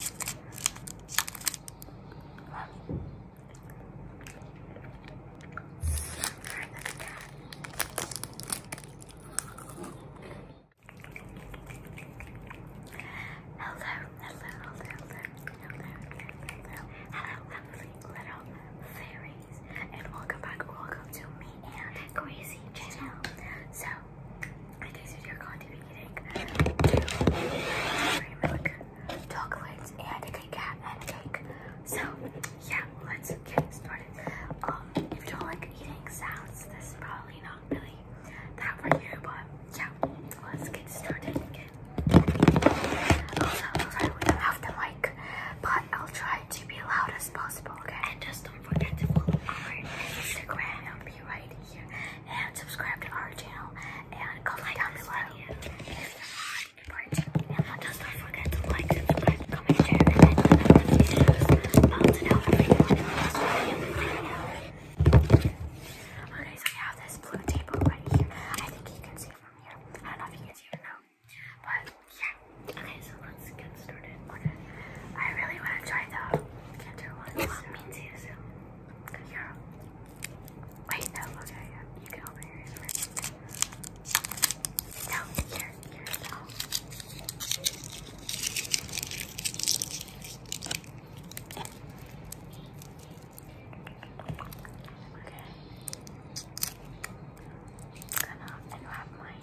Hello, hello, hello, hello, hello, hello, lovely little fairies, and welcome back, welcome to me and Crazy Channel. So I tasted your going to be eating two dairy milk chocolates and a Kit and a cake. So yeah, let's get started. Um, if you don't like eating sounds, this is probably not really that for you, but yeah, let's get started again. Also, sorry we don't have the mic, but I'll try to be loud as possible, okay? And just don't forget to follow our Instagram. I'll be right and subscribe to our channel and comment down below if you want don't forget to like, comment, share, and hit the notifications bell Okay, so we have this blue table right here. I think you can see from here. I don't know if you can see it but yeah. Okay, so let's get started. Okay. I really want to try the canter one. Wait, no, okay, yeah. You can open your ears No, here, here, no. Okay. I'm gonna mine.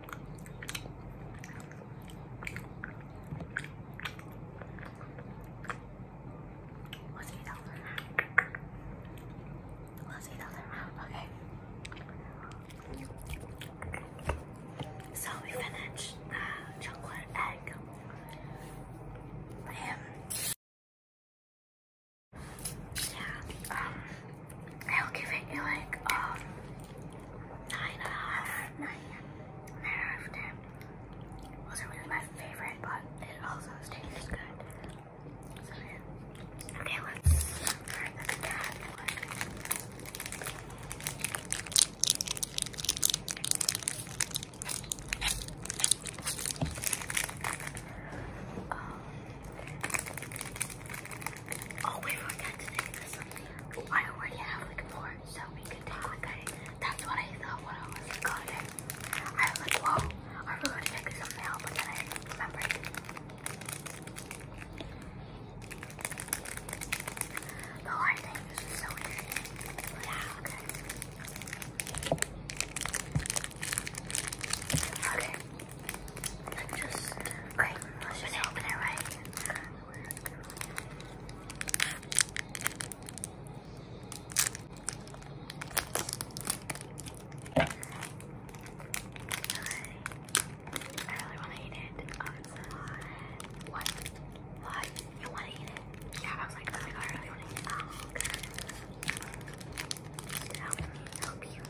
Let's eat out Let's eat out okay? So we finished uh, chocolate egg. yeah, um, I'll give it like um nine and a half. Nine. Nine out of ten. Wasn't really my favorite, but it also tastes good. Okay, let's Oh wait, I forgot to take this I already have like more, so we can take that's what I thought when I was got it. I was like, whoa, I forgot to take something out, but then I remembered. The hard thing is just so interesting. But yeah, okay. Okay, just, okay, let's just open it right. I really want to eat it. Um, what? You want to eat it? Yeah, oh, I was like, I really want to eat it. Help me, help you.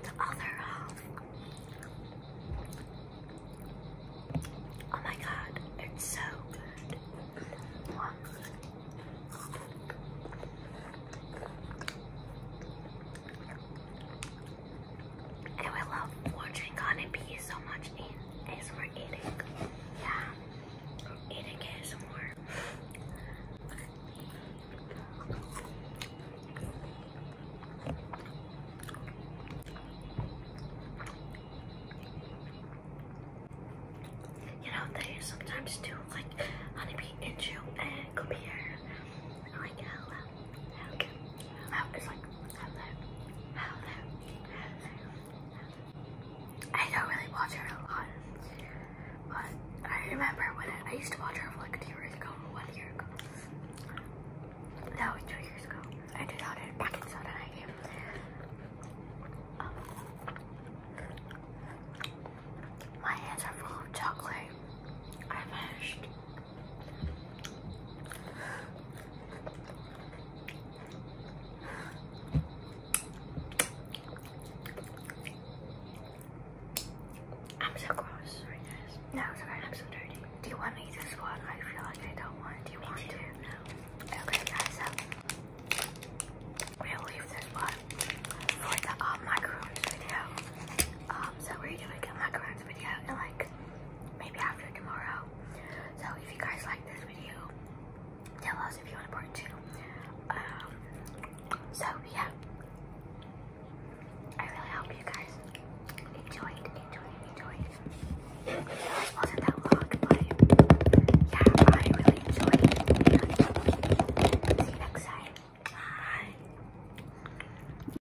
The other half. Oh my god, it's so good. And we love watching honeybee so much in as we eating. Yeah. Eating is more. You know, they sometimes do like honeybee into and come here. Like I don't really watch her a lot. But I remember when I, used to watch her like two years ago, one year ago. That was two years ago. I did not it back in soda I my hands are full of chocolate. I finished I'm so gross. Sorry guys. No, it's alright. I'm so dirty. Do you want me to this one? I feel like I don't want. Do you want too. to? No. Okay guys, so um, we'll leave this one for the um, video. Um, so we're doing a macaroons video like maybe after tomorrow. So if you guys like this video, tell us if you want a part two. Um, so yeah, I really hope you guys enjoyed, enjoyed, enjoyed. wasn't that long, but yeah, I really enjoyed See you next time. Bye.